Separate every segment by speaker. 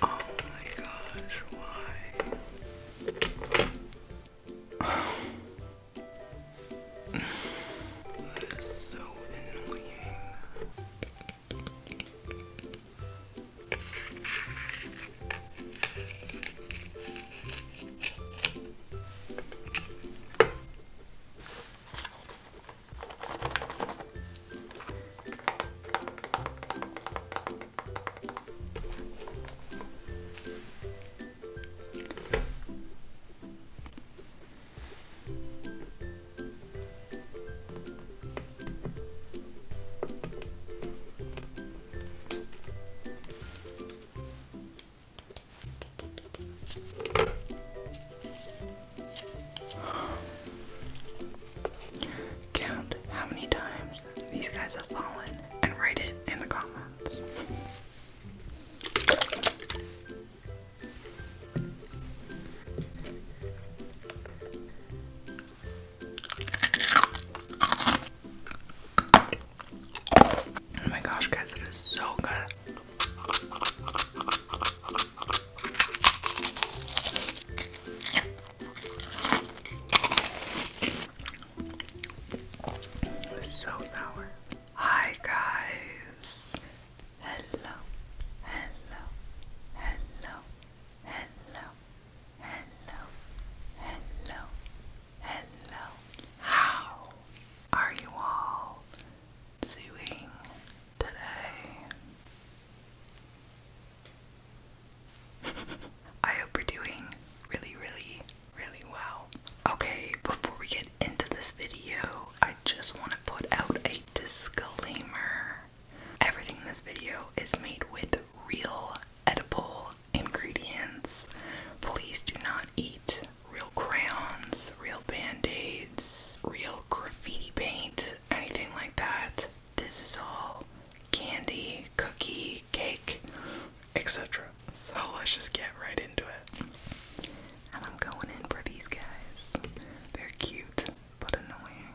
Speaker 1: Oh my gosh, why? That is so annoying. Count how many times these guys have fallen and write it in the comments. Oh my gosh, guys, it is so good. So sour. Hi guys. Hello. Hello. Hello. Hello. Hello. Hello. Hello. How are you all doing today? I hope we are doing really, really really well. Okay, before we get into this video, I just want to put out a disclaimer. Everything in this video is made with real edible ingredients. Please do not eat real crayons, real band-aids, real graffiti paint, anything like that. This is all candy cookie, cake, etc. So let's just get right into it. And I'm going in for these guys. They're cute, but annoying.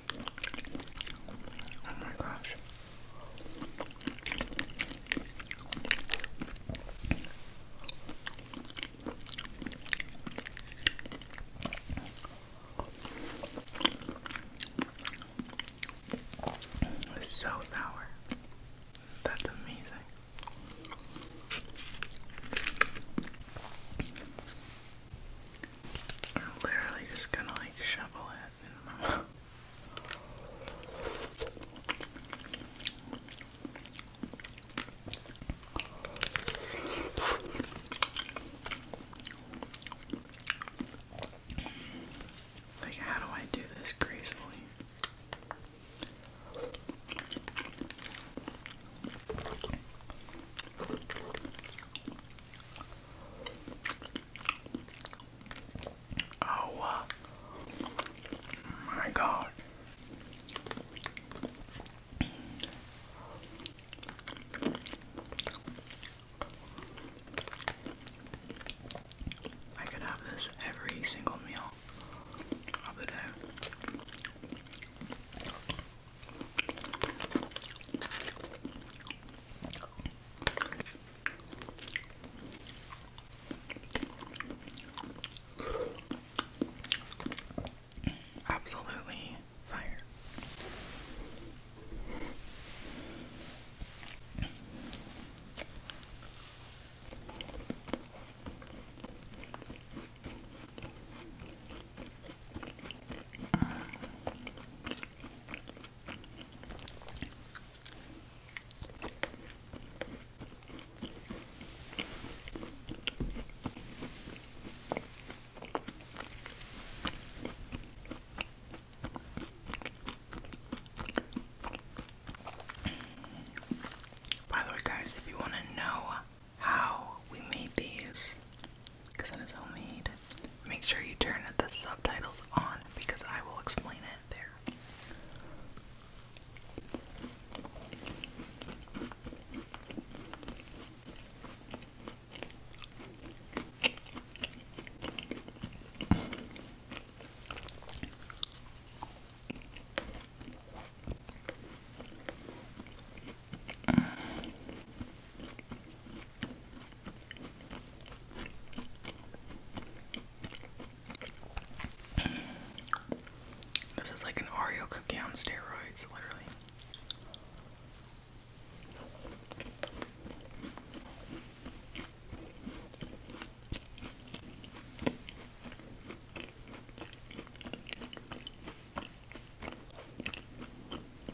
Speaker 1: Oh my gosh. It's so sour. That's amazing. I'm literally just gonna like shovel it. Like, how do I do this gracefully? Oh my God. I could have this every single meal of the day. Absolutely fire. By the way, guys, if you want to know how we made these, because it is homemade. Make sure you turn the subtitles on because I will explain it there. This is like an Oreo cookie on steroids, literally.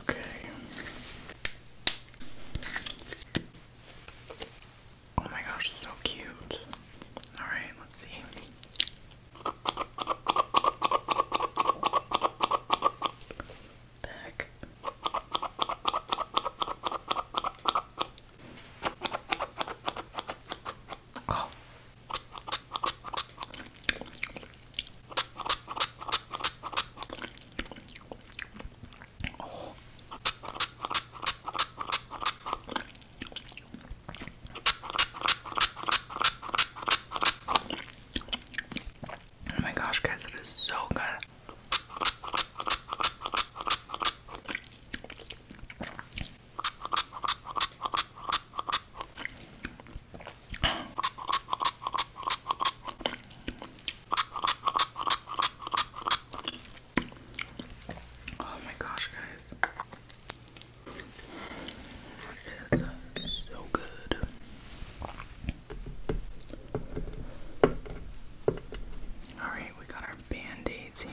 Speaker 1: Okay. Oh my gosh, so cute. All right, let's see. The heck? Oh. Oh. oh my gosh, guys, it is so good. Oh my gosh, guys. It is so good. Alright, we got our band-aids here.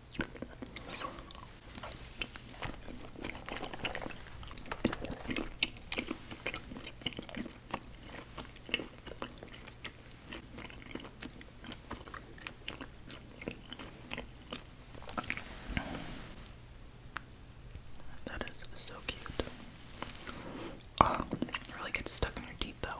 Speaker 1: That is so cute. Oh, it really gets stuck in your teeth though.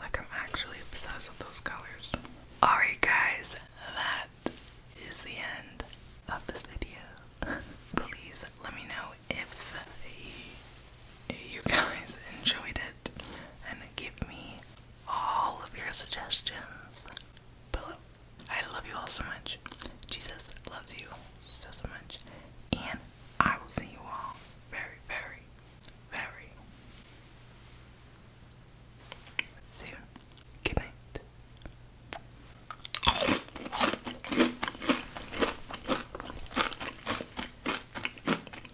Speaker 1: Like, I'm actually obsessed with those colors. Alright, guys, that is the end of this video. Please let me know if you guys enjoyed it and give me all of your suggestions below. I love you all so much. Jesus loves you so, so much. And I will see you all very, very, very soon. Good